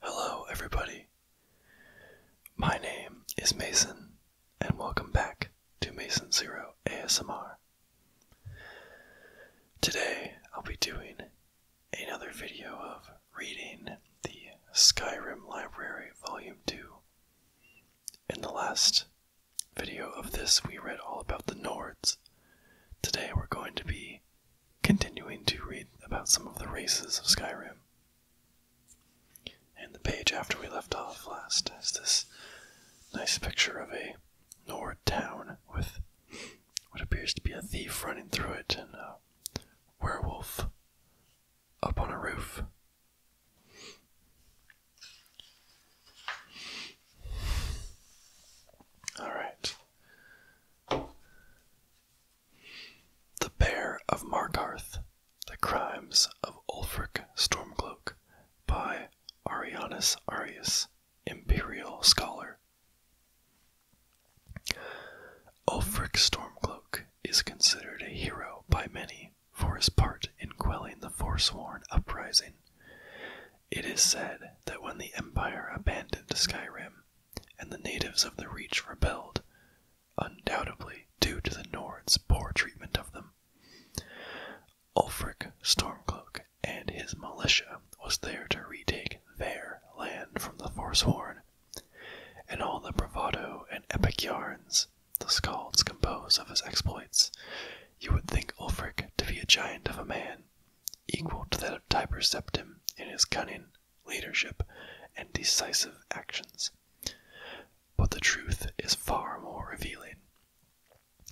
Hello, everybody. My name is Mason, and welcome back to Mason Zero ASMR. Today, I'll be doing another video of reading the Skyrim Library Volume 2. In the last video of this, we read all about the Nords. Today, we're going to be continuing to read about some of the races of Skyrim. And the page after we left off last is this nice picture of a Nord town with what appears to be a thief running through it and Werewolf Up on a Roof. All right. The Bear of Markarth The Crimes of Ulfric Stormcloak by Arianus Arius, Imperial Scholar. Ulfric Stormcloak is considered a hero by many for his part in quelling the Forsworn uprising. It is said that when the Empire abandoned Skyrim and the natives of the Reach rebelled, undoubtedly due to the Nords' poor treatment of them, Ulfric Stormcloak and his militia was there to retake their land from the Forsworn in all the bravado and epic yarns the skalds compose of his exploits, you would think Ulfric to be a giant of a man, equal to that of Tiber Septim in his cunning, leadership, and decisive actions. But the truth is far more revealing.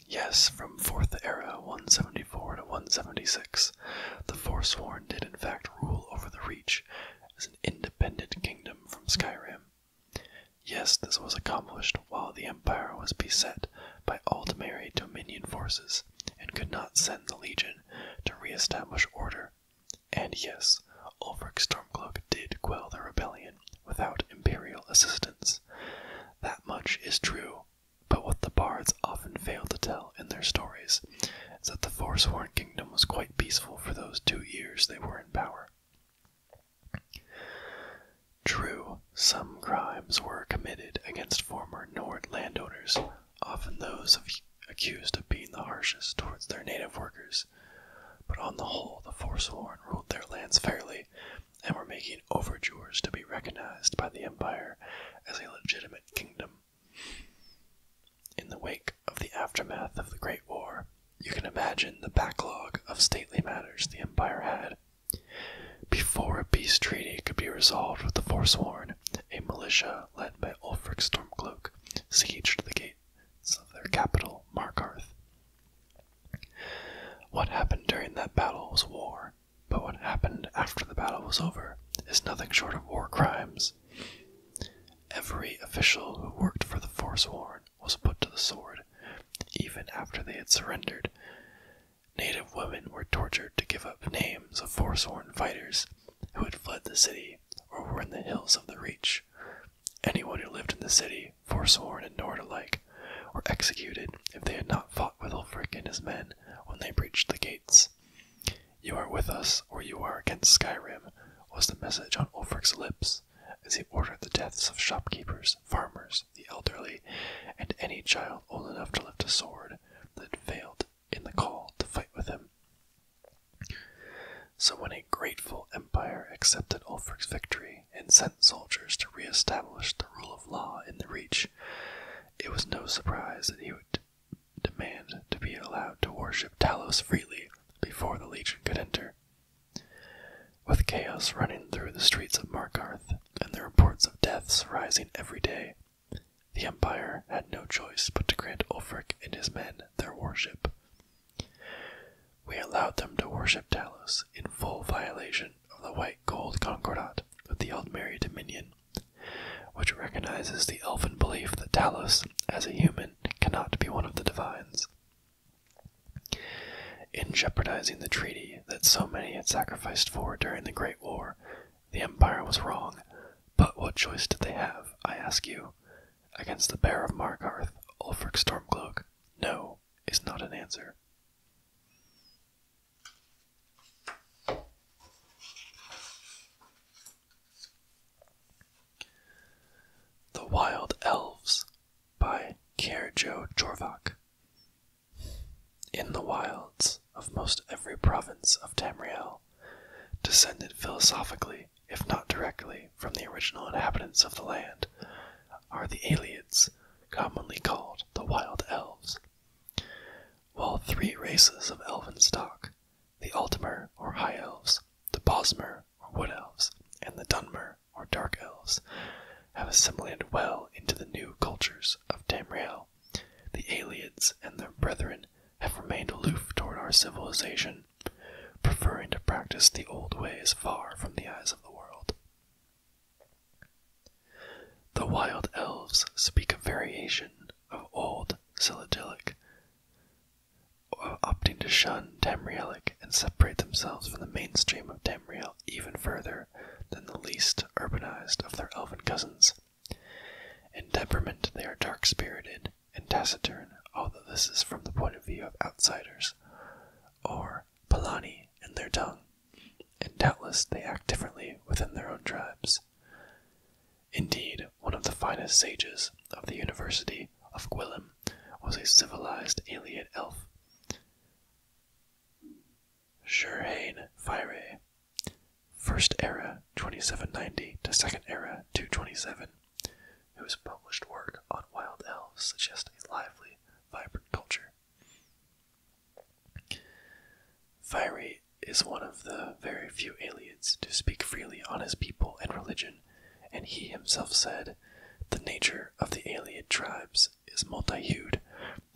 Yes, from Fourth Era 174 to 176, the Forsworn did in fact rule over the as an independent kingdom from Skyrim. Yes, this was accomplished while the Empire was beset by Aldemeri Dominion forces and could not send the Legion to re-establish order. And yes, Ulfric Stormcloak did quell the rebellion without Imperial assistance. That much is true, but what the bards often fail to tell in their stories is that the Forsworn Kingdom was quite peaceful for those two years they were in power. True, some crimes were committed against former Nord landowners, often those of accused of being the harshest towards their native workers. But on the whole, the Forsworn ruled their lands fairly and were making overtures to be recognized by the Empire as a legitimate kingdom in the wake of the aftermath of the Great War, you can imagine the backlog of stately matters the Empire had. Before a peace treaty could be resolved with the Forsworn, a militia led by Ulfric Stormcloak besieged the gates of their capital, Markarth. What happened during that battle was war, but what happened after the battle was over is nothing short of war crimes Every official who worked for the Forsworn was put to the sword, even after they had surrendered. Native women were tortured to give up names of Forsworn fighters who had fled the city or were in the hills of the Reach. Anyone who lived in the city, Forsworn and Nord alike, were executed if they had not fought with Ulfric and his men when they breached the gates. You are with us, or you are against Skyrim, was the message on Ulfric's lips as he ordered the deaths of shopkeepers, farmers, the elderly, and any child old enough to lift a sword that failed in the call to fight with him. So when a grateful empire accepted Ulfric's victory and sent soldiers to re-establish the rule of law in the Reach, it was no surprise that he would demand to be allowed to worship Talos freely before the Legion could enter. With chaos running through the streets of Markarth and the reports of deaths rising every day, the Empire had no choice but to grant Ulfric and his men their worship. We allowed them to worship Talos in full violation of the White Gold Concordat with the Aldmeri Dominion which recognizes the elfin belief that Talos, as a human, cannot be one of the divines. In jeopardizing the treaty that so many had sacrificed for during the Great War, the Empire was wrong, but what choice did they have, I ask you? Against the Bear of Markarth, Ulfric Stormcloak, no is not an answer. The Wild Elves by Kierjo Jorvak. In the wilds of most every province of Tamriel, descended philosophically, if not directly, from the original inhabitants of the land, are the Aliads, commonly called the Wild Elves while three races of elven stock the Altmer, or High Elves, the Bosmer, or Wood Elves, and the Dunmer, or Dark Elves, have assimilated well into the new cultures of Tamriel. The Aliads and their brethren have remained aloof toward our civilization, preferring to practice the old ways far from the eyes of the world. The wild elves speak a variation of Old Silidilic, opting to shun Tamrielic and separate themselves from the mainstream of Tamriel even further than the least urbanized of their elven cousins. In temperament, they are dark spirited and taciturn, although this is from the point of view of outsiders, or Palani in their tongue and doubtless they act differently within their own tribes. Indeed, one of the finest sages of the University of Gwilym was a civilized alien elf. Shurhane Fire, First Era 2790 to Second Era 227, whose published work on wild elves suggests a lively, vibrant culture. Fiery is one of the very few aliens to speak freely on his people and religion, and he himself said, The nature of the alien tribes is multi hued,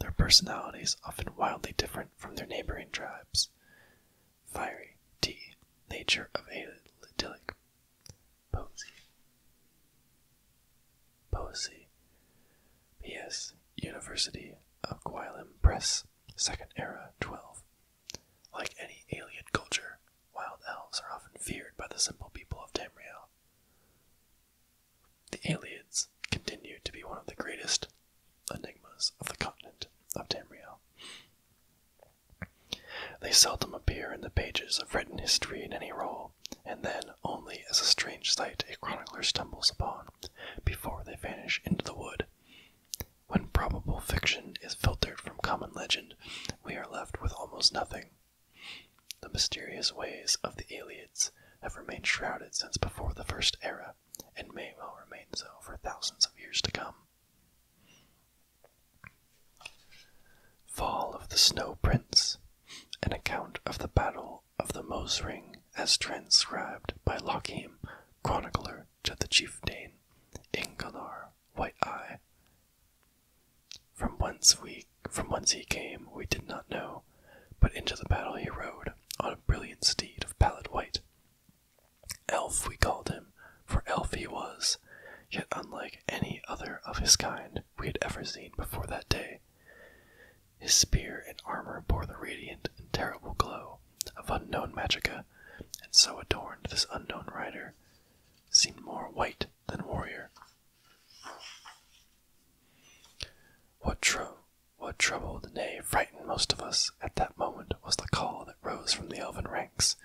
their personalities often wildly different from their neighboring tribes. Fiery T. Nature of alien Idyllic Poesy. Poesy. P.S. University of Guilin Press, Second Era 12. Like any alien culture, wild elves are often feared by the simple people of Tamriel. The aliens continue to be one of the greatest enigmas of the continent of Tamriel. They seldom appear in the pages of written history in any role, and then only as a strange sight a chronicler stumbles upon before they vanish into the wood. When probable fiction is filtered from common legend, we are left with almost nothing. The mysterious ways of the Aliates have remained shrouded since before the First Era, and may well remain so for thousands of years to come. Fall of the Snow Prince An account of the Battle of the Mose Ring as transcribed by Lochim, chronicler to the chief Dane, Ingalar, White Eye. From whence we from whence he came we did not know, but into the battle he rode, on a brilliant steed of pallid white. Elf we called him, for elf he was, yet unlike any other of his kind we had ever seen before that day. His spear and armor bore the radiant and terrible glow of unknown magica, and so adorned this unknown rider seemed more white than warrior. What, tro what troubled, nay, frightened most of us at that moment was the call that rose from the elven ranks.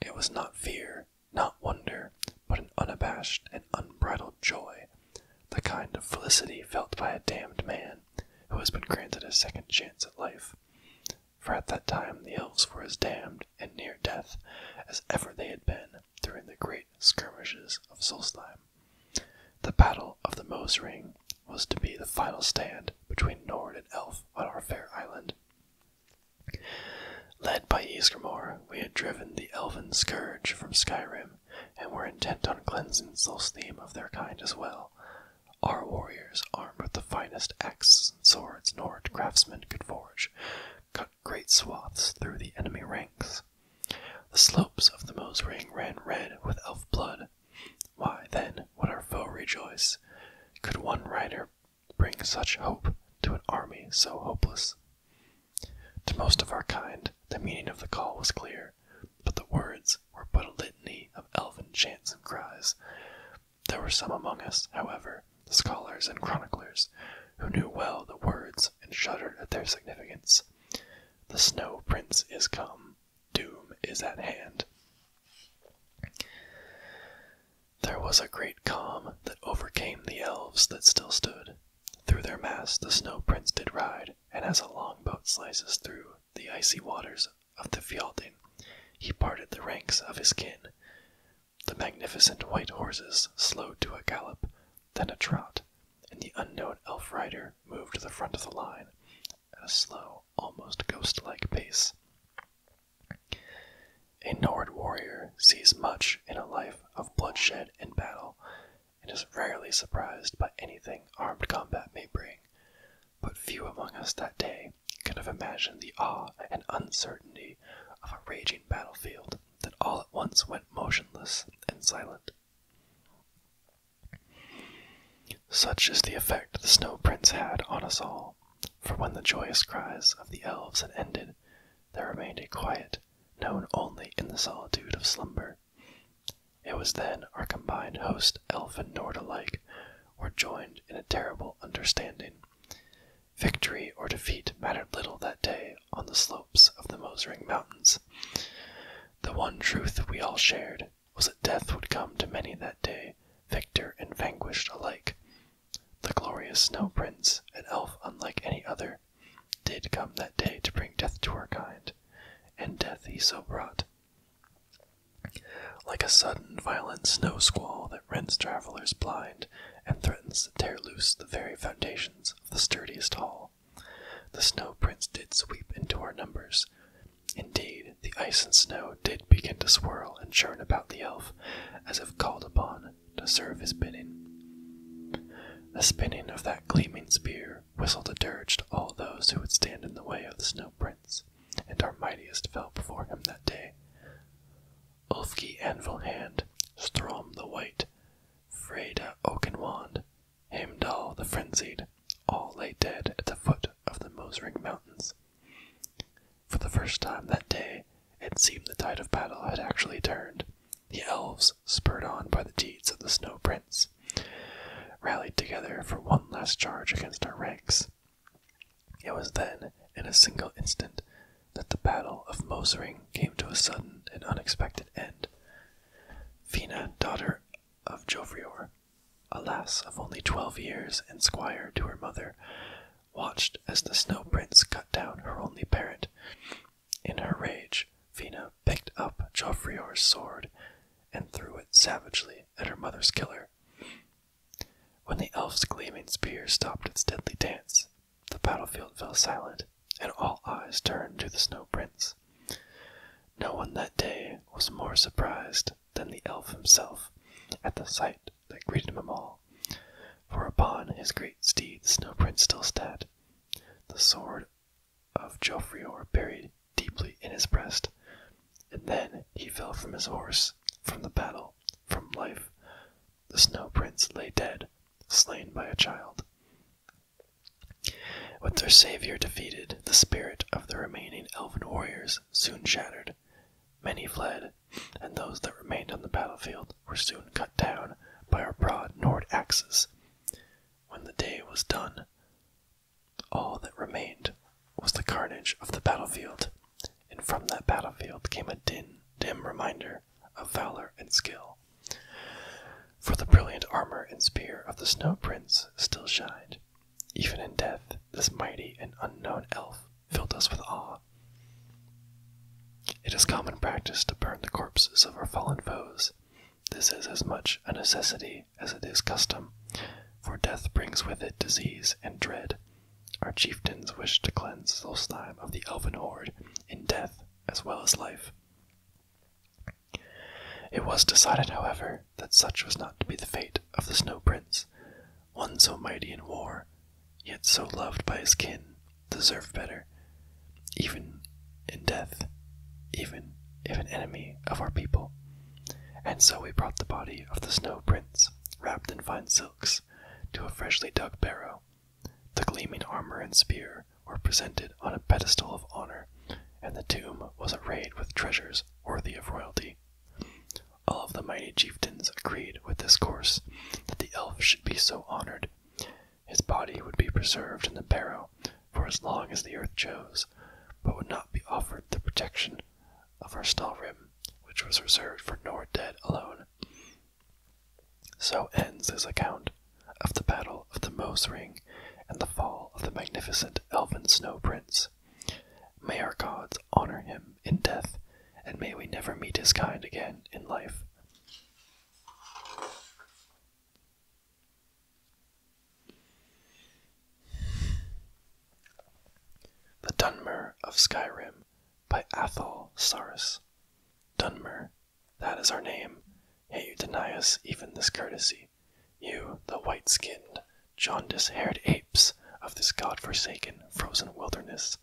It was not fear, not wonder, but an unabashed and unbridled joy the kind of felicity felt by a damned man who has been granted a second chance at life. For at that time the elves were as damned and near death as ever they had been during the great skirmishes of Solstheim. The Battle of the Mose Ring was to be the final stand between Nord and Elf on our fair island. Led by Isgrimor, we had driven the elven scourge from Skyrim and were intent on cleansing Solstheim of their kind as well. Our warriors, armed with the finest axes and swords Norwich craftsmen could forge, cut great swathes through the enemy ranks. The slopes of the Mosring ran red with elf blood. Why, then, would our foe rejoice? Could one rider bring such hope to an army so hopeless? To most of our kind, the meaning of the call was clear, but the words were but a litany of elfin chants and cries. There were some among us, however, scholars and chroniclers, who knew well the words and shuddered at their significance. The Snow Prince is come, doom is at hand. There was a great calm that overcame the elves that still stood, through their mass the snow prince did ride, and as a long boat slices through the icy waters of the Fialdin, he parted the ranks of his kin. The magnificent white horses slowed to a gallop, then a trot, and the unknown elf rider moved to the front of the line at a slow, almost ghost-like pace. A Nord warrior sees much in a life of bloodshed and battle, and is rarely surprised by anything armed combat may bring. But few among us that day could have imagined the awe and uncertainty of a raging battlefield that all at once went motionless and silent. Such is the effect the snow prince had on us all, for when the joyous cries of the elves had ended, there remained a quiet known only in the solitude of slumber. It was then our combined host, elf and Nord alike, were joined in a terrible understanding. Victory or defeat mattered little that day on the slopes of the Mosering Mountains. The one truth we all shared was that death would come to many that day, victor and vanquished alike. The glorious Snow Prince, an elf unlike any other, did come that day to bring death to our kind, and death he so brought. Like a sudden, violent snow squall that rends travelers blind and threatens to tear loose the very foundations of the sturdiest hall, the snow prince did sweep into our numbers. Indeed, the ice and snow did begin to swirl and churn about the elf, as if called upon to serve his bidding. The spinning of that gleaming spear whistled a dirge to all those who would stand in the way of the snow prince, and our mightiest fell before him that day. Ulfki Anvil Hand, Strom the White, Freda Oakenwand, Heimdall the Frenzied, all lay dead at the foot of the Mosring Mountains. For the first time that day, it seemed the tide of battle had actually turned, the elves, spurred on by the deeds of the Snow Prince, rallied together for one last charge against our ranks. It was then, in a single instant, that the Battle of Mosering came to a sudden and unexpected end. Fina, daughter of Jofrior, a lass of only twelve years and squire to her mother, watched as the Snow Prince cut down her only parent in her rage, Fina picked up Joffrior's sword and threw it savagely at her mother's killer. When the elf's gleaming spear stopped its deadly dance, the battlefield fell silent, and all eyes turned to the snow prince. No one that day was more surprised than the elf himself at the sight that greeted them all, for upon his great steed the snow prince still sat, the sword of Jofrior buried deeply in his breast, and then he fell from his horse, from the battle, from life. The snow prince lay dead, slain by a child. With their savior defeated, the spirit of the remaining elven warriors soon shattered. Many fled, and those that remained on the battlefield were soon cut down by our broad Nord axes. When the day was done, all that remained was the carnage of the battlefield, and from that battlefield came a din, dim reminder of valor and skill. For the brilliant armor and spear of the Snow Prince still shined. Even in death, this mighty and unknown elf filled us with awe. It is common practice to burn the corpses of our fallen foes. This is as much a necessity as it is custom, for death brings with it disease and dread. Our chieftains wish to cleanse Solstheim of the elven horde in death as well as life. It was decided, however, that such was not to be the fate of the Snow Prince, one so mighty in war, yet so loved by his kin, deserved better, even in death, even if an enemy of our people. And so we brought the body of the snow prince, wrapped in fine silks, to a freshly dug barrow. The gleaming armor and spear were presented on a pedestal of honor, and the tomb was arrayed with treasures worthy of royalty. All of the mighty chieftains agreed with this course that the elf should be so honored, his body would be preserved in the barrow for as long as the earth chose, but would not be offered the protection of our snow rim, which was reserved for Nordead alone. So ends his account of the Battle of the Mose Ring and the fall of the magnificent elven snow prince. May our gods honor him in death, and may we never meet his kind again in life. The Dunmer of Skyrim by Athol Sarris. Dunmer, that is our name, yet you deny us even this courtesy. You, the white skinned, jaundice haired apes of this god-forsaken, frozen wilderness.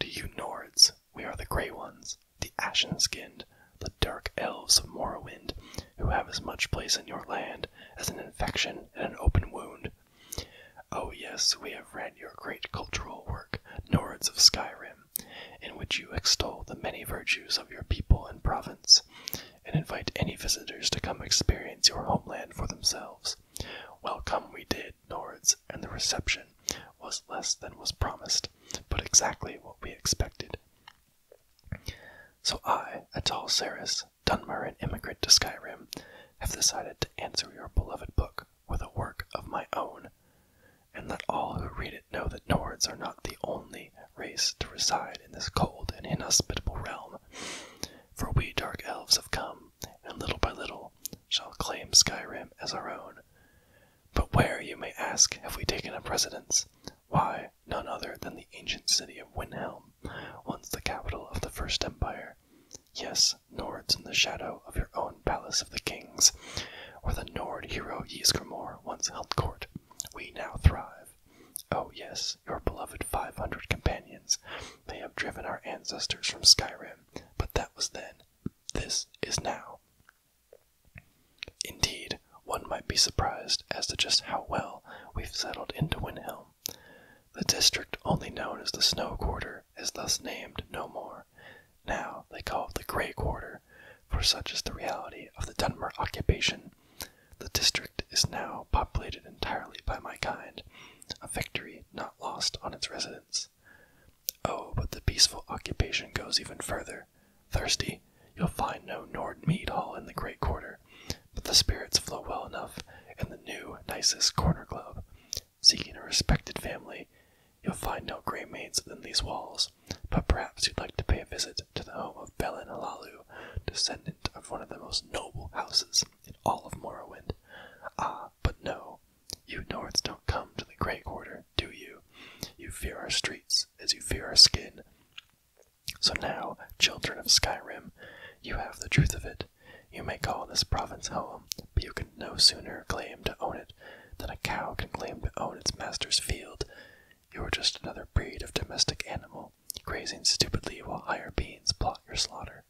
Do you Nords we are the Grey Ones, the Ashen Skinned, the Dark Elves of Morrowind, who have as much place in your land as an infection and an open wound. Oh, yes, we have read your great cultural work, Nords of Skyrim, in which you extol the many virtues of your people and province, and invite any visitors to come experience your homeland for themselves. Well, come we did Nords and the reception was less than was promised, but exactly what we expected. So I, a tall, Saris, Dunmer, immigrant to Skyrim, have decided to answer your beloved book with a work of my own, and let all who read it know that Nords are not the only race to reside in this cold and inhospitable realm. For we dark elves have come and little by little shall claim Skyrim as our own. But where, you may ask, have we taken up residence? Why, none other than the ancient city of Windhelm, once the capital of the First Empire. Yes, Nords in the shadow of your own Palace of the Kings, where the Nord hero Ysgrimor once held court, we now thrive. Oh, yes, your beloved 500 companions. may have driven our ancestors from Skyrim, but that was then. This is now. Indeed, one might be surprised as to just how well we've settled into Windhelm. The district only known as the Snow Quarter is thus named no more. Now they call it the Grey Quarter, for such is the reality of the Dunmer occupation. The district is now populated entirely by my kind, a victory not lost on its residents. Oh, but the peaceful occupation goes even further. Thirsty, you'll find no Nord mead hall in the Great Quarter, but the spirits flow well enough in the new, nicest corner club. Seeking a respected family, you'll find no great maids within these walls, but perhaps you'd like to pay a visit to the home of Belin Alalu, descendant of one of the most noble houses in all of Morrowind. Ah, but no, you Nords don't come to the Great Quarter, do you? You fear our streets as you fear our skin. So now, children of Skyrim, you have the truth of it. You may call this province home, but you can no sooner claim to own it than a cow can claim to own its master's field. You are just another breed of domestic animal, grazing stupidly while higher beings plot your slaughter.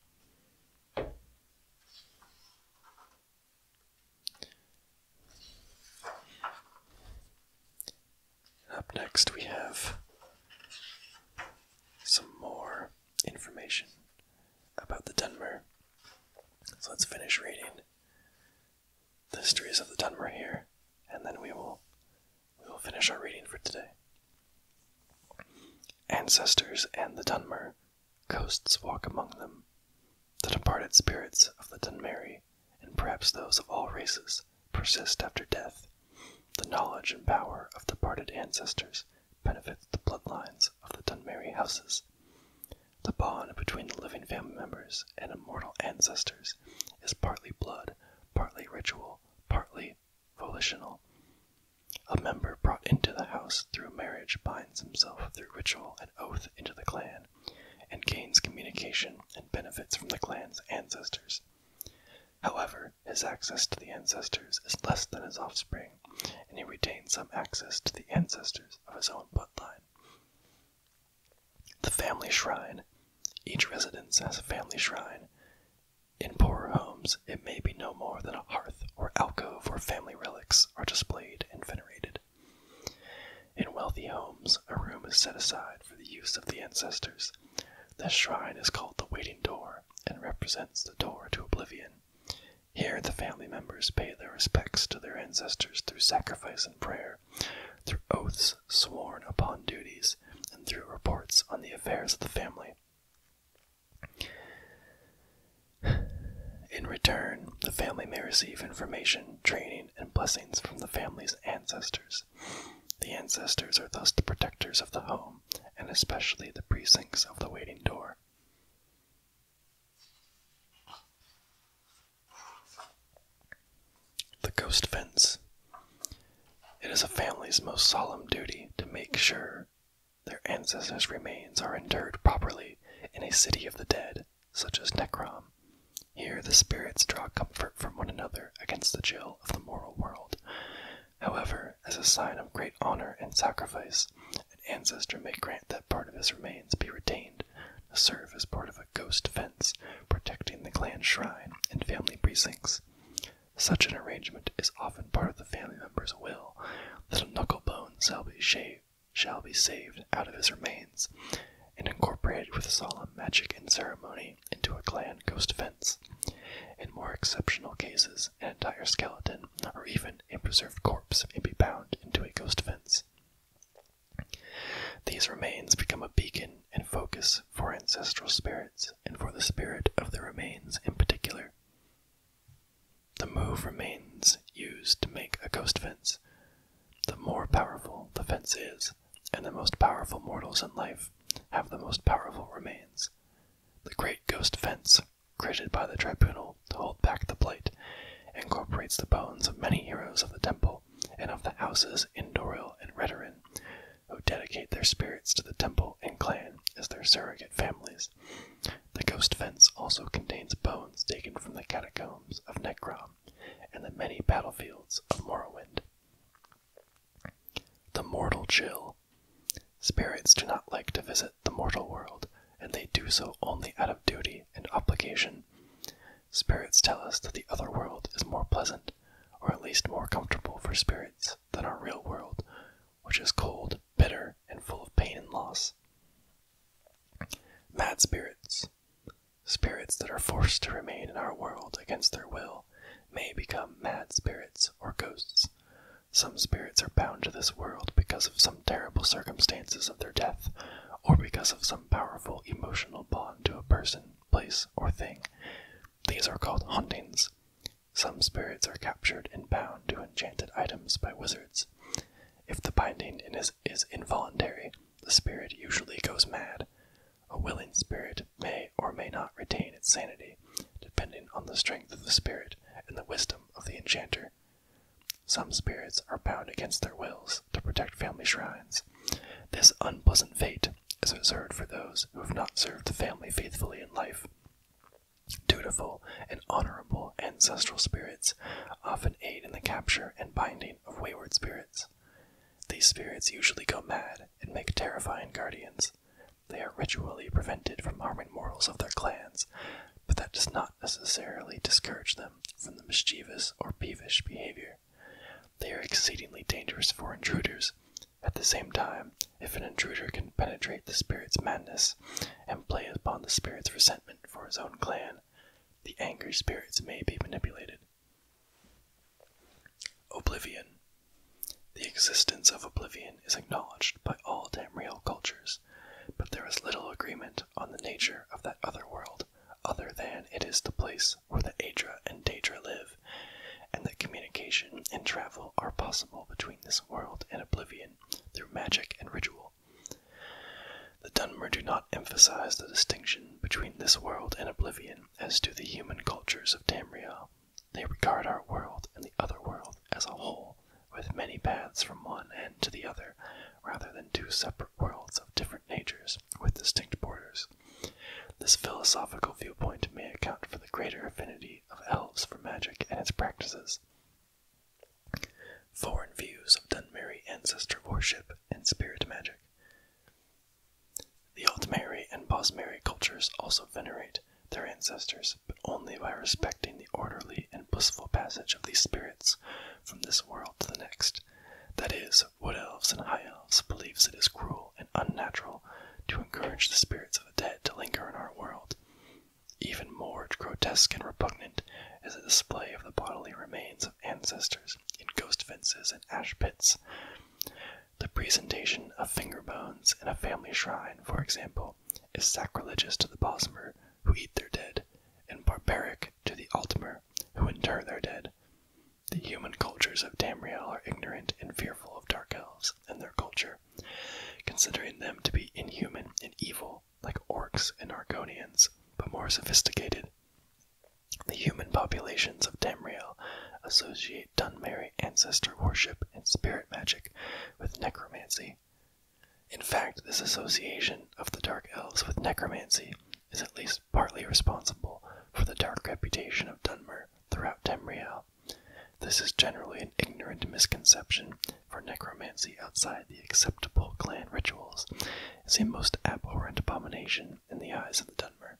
Up next, we have some more information about the Dunmer. So let's finish reading the histories of the Dunmer here, and then we will we will finish our reading for today. Ancestors and the Dunmer Ghosts walk among them, the departed spirits of the Dunmeri, and perhaps those of all races, persist after death. The knowledge and power of departed ancestors benefits the bloodlines of the Dunmeri houses. The bond between the living family members and immortal ancestors is partly blood, partly ritual, partly volitional. A member brought into the house through marriage binds himself through ritual and oath into the clan, and gains communication and benefits from the clan's ancestors. However, his access to the ancestors is less than his offspring, and he retains some access to the ancestors of his own bloodline. The family shrine. Each residence has a family shrine. In poorer homes, it may be no more than a hearth or alcove where family relics are displayed and venerated. In wealthy homes, a room is set aside for the use of the ancestors. This shrine is called the Waiting Door and represents the door to oblivion. Here, the family members pay their respects to their ancestors through sacrifice and prayer, through oaths sworn upon duties, and through reports on the affairs of the family. In return, the family may receive information, training, and blessings from the family's ancestors. The ancestors are thus the protectors of the home, and especially the precincts of the waiting door. The ghost fence. It is a family's most solemn duty to make sure their ancestors' remains are interred properly in a city of the dead, such as Necrom. Here the spirits draw comfort from one another against the chill of the moral world. However, as a sign of great honor and sacrifice, an ancestor may grant that part of his remains be retained to serve as part of a ghost fence protecting the clan shrine and family precincts. Such an arrangement is often part of the family member's will that a knuckle bone shall be shaved, shall be saved out of his remains and incorporated with solemn magic and ceremony into a clan ghost fence. In more exceptional cases, an entire skeleton or even a preserved corpse may be bound into a ghost fence. These remains become a beacon and focus for ancestral spirits and for the spirit of the remains in particular. The move remains used to make a ghost fence. The more powerful the fence is, and the most powerful mortals in life have the most powerful remains. The great ghost fence, created by the tribunal to hold back the blight, incorporates the bones of many heroes of the temple and of the houses in Doril and Redoran, who dedicate their spirits to the temple and clan as their surrogate families. The ghost fence also contains bones taken from the catacombs of Necrom and the many battlefields of Morrowind. The mortal chill. Spirits do not like to visit the mortal world, and they do so only out of duty and obligation. Spirits tell us that the other world is more pleasant, or at least more comfortable for spirits, than our real world, which is cold, bitter, and full of pain and loss. Mad spirits, spirits that are forced to remain in our world against their will, may become mad spirits or ghosts. Some spirits are bound to this world because of some terrible circumstances of their death, or because of some powerful emotional bond to a person, place, or thing. These are called hauntings. Some spirits are captured and bound to enchanted items by wizards. If the binding is, is involuntary, the spirit usually goes mad. A willing spirit may or may not retain its sanity, depending on the strength of the spirit and the wisdom of the enchanter. Some spirits are bound against their wills to protect family shrines. This unpleasant fate is reserved for those who have not served the family faithfully in life. Dutiful and honorable ancestral spirits often aid in the capture and binding of wayward spirits. These spirits usually go mad and make terrifying guardians. They are ritually prevented from harming mortals of their clans, but that does not necessarily discourage them from the mischievous or peevish behavior. They are exceedingly dangerous for intruders at the same time, if an intruder can penetrate the spirit's madness and play upon the spirit's resentment for his own clan, the angry spirits may be manipulated. Oblivion. The existence of oblivion is acknowledged by all Tamriel cultures, but there is little agreement on the nature of that other world other than it is the place where the Adra and Daedra live, and that communication and travel are possible between this world and oblivion through magic and ritual. The Dunmer do not emphasize the distinction between this world and oblivion as do the human cultures of Tamriel. They regard our world and the other world as a whole, with many paths from one end to the other, rather than two separate worlds of different natures with distinct borders. This philosophical viewpoint may account for the greater affinity of elves for magic and its practices. Foreign views of Dunmeri ancestor worship and spirit magic. The old Altmeri and Bosmeri cultures also venerate their ancestors, but only by respecting the orderly and blissful passage of these spirits from this world to the next. That is, wood elves and high elves believes it is cruel and unnatural to encourage the spirits of dead to linger in our world. Even more grotesque and repugnant is the display of the bodily remains of ancestors in ghost fences and ash pits. The presentation of finger bones in a family shrine, for example, is sacrilegious to the Bosmer, who eat their dead, and barbaric to the Altmer, who inter their dead. The human cultures of Tamriel are ignorant and fearful of dark elves and their culture considering them to be inhuman and evil like orcs and Argonians, but more sophisticated. The human populations of Tamriel associate Dunmary ancestor worship and spirit magic with necromancy. In fact, this association of the Dark Elves with necromancy is at least partly responsible for the dark reputation of Dunmer throughout Tamriel. This is generally an ignorant misconception, for necromancy outside the acceptable clan rituals is a most abhorrent abomination in the eyes of the Dunmer.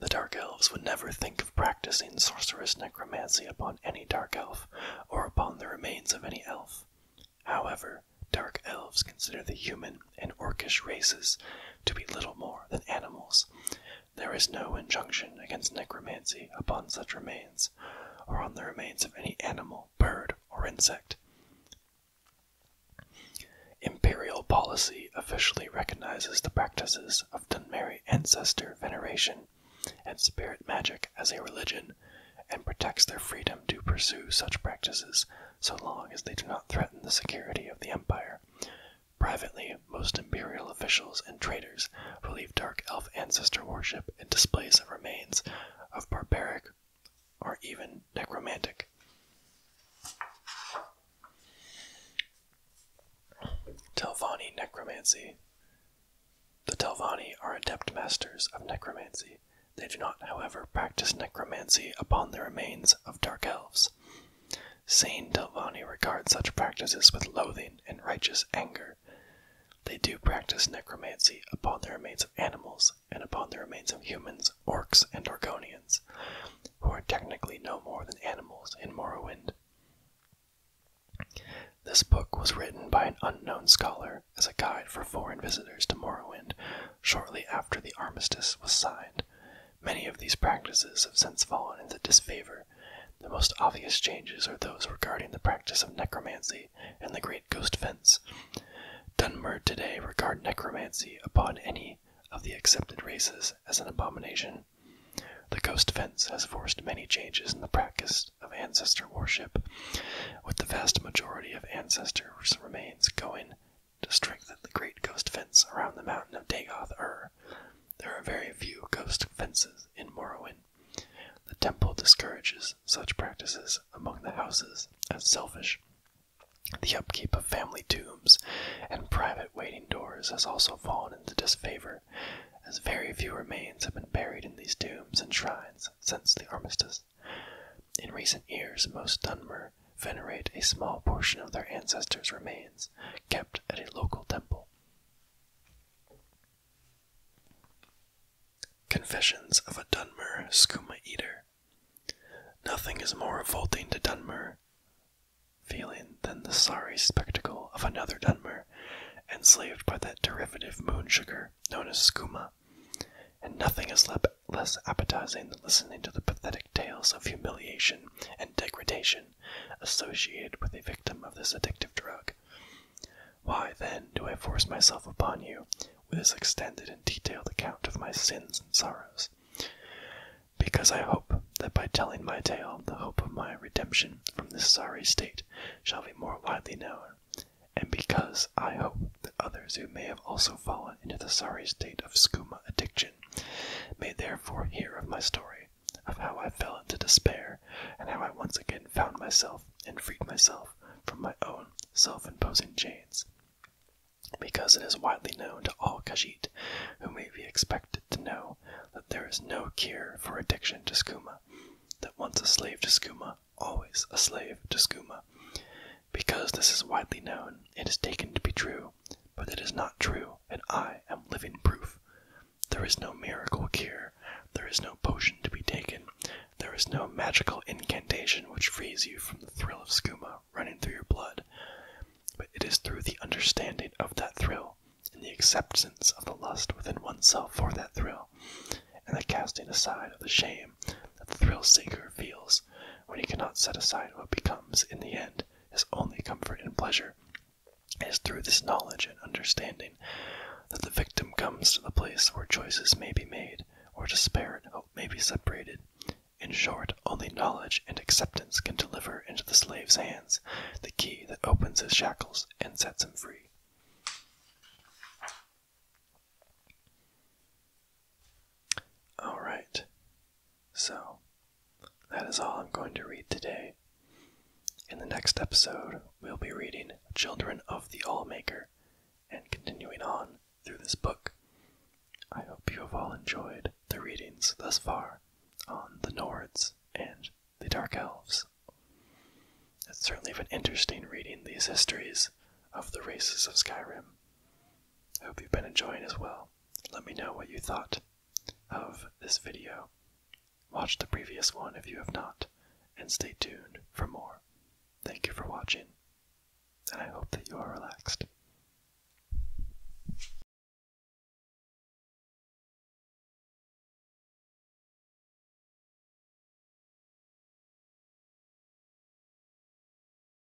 The Dark Elves would never think of practicing sorcerous necromancy upon any Dark Elf or upon the remains of any elf. However, Dark Elves consider the human and orcish races to be little more than animals, there is no injunction against necromancy upon such remains, or on the remains of any animal, bird, or insect. Imperial policy officially recognizes the practices of Dunmeri ancestor veneration and spirit magic as a religion and protects their freedom to pursue such practices so long as they do not threaten the security of the empire, Privately, most imperial officials and traders believe dark elf ancestor worship and displays of remains of barbaric or even necromantic. Telvanni necromancy. The Telvanni are adept masters of necromancy. They do not, however, practice necromancy upon the remains of dark elves. Saint Delvani regards such practices with loathing and righteous anger. They do practice necromancy upon the remains of animals and upon the remains of humans, orcs, and Argonians, who are technically no more than animals in Morrowind. This book was written by an unknown scholar as a guide for foreign visitors to Morrowind shortly after the armistice was signed, Many of these practices have since fallen into disfavor. The most obvious changes are those regarding the practice of necromancy and the Great Ghost Fence. Dunmer today regard necromancy upon any of the accepted races as an abomination. The Ghost Fence has forced many changes in the practice of ancestor worship, with the vast majority of ancestors' remains going to strengthen the great ghost fence around the mountain of Dagoth Ur. There are very few ghost fences in Morrowind. The temple discourages such practices among the houses as selfish. The upkeep of family tombs and private waiting doors has also fallen into disfavor, as very few remains have been buried in these tombs and shrines since the armistice. In recent years, most Dunmer venerate a small portion of their ancestors' remains kept at a local temple. Confessions of a Dunmer Skooma Eater. Nothing is more revolting to Dunmer feeling than the sorry spectacle of another Dunmer enslaved by that derivative moon sugar known as skooma, and nothing is less appetizing than listening to the pathetic tales of humiliation and degradation associated with a victim of this addictive drug. Why, then, do I force myself upon you with this extended and detailed account of my sins and sorrows? Because I hope that by telling my tale, the hope of my redemption from this sorry state shall be more widely known, and because I hope that others who may have also fallen into the sorry state of skooma addiction may therefore hear of my story, of how I fell into despair, and how I once again found myself and freed myself from my own self imposing chains. Because it is widely known to all Khajiit, who may be expected to know, that there is no cure for addiction to skooma, that once a slave to skooma, always a slave to skooma. Because this is widely known, it is taken to be true, but it is not true, and I am living proof. There is no miracle cure, there is no potion to be taken, there is no magical incantation which frees you from the thrill of skooma running through your blood. But it is through the understanding of that thrill, and the acceptance of the lust within oneself for that thrill, and the casting aside of the shame that the thrill seeker feels when he cannot set aside what becomes, in the end, his only comfort and pleasure. is through this knowledge and understanding that the victim comes to the place where choices may be made, or despair and hope may be separated. In short, only knowledge and acceptance can deliver into the slave's hands the key that opens his shackles and sets him free. All right. So, that is all I'm going to read today. In the next episode, we'll be reading Children of the All-Maker, and continuing on through this book. I hope you have all enjoyed the readings thus far on the Nords and the Dark Elves. It's certainly been interesting reading these histories of the races of Skyrim. I hope you've been enjoying as well let me know what you thought of this video. Watch the previous one if you have not, and stay tuned for more. Thank you for watching, and I hope that you are relaxed.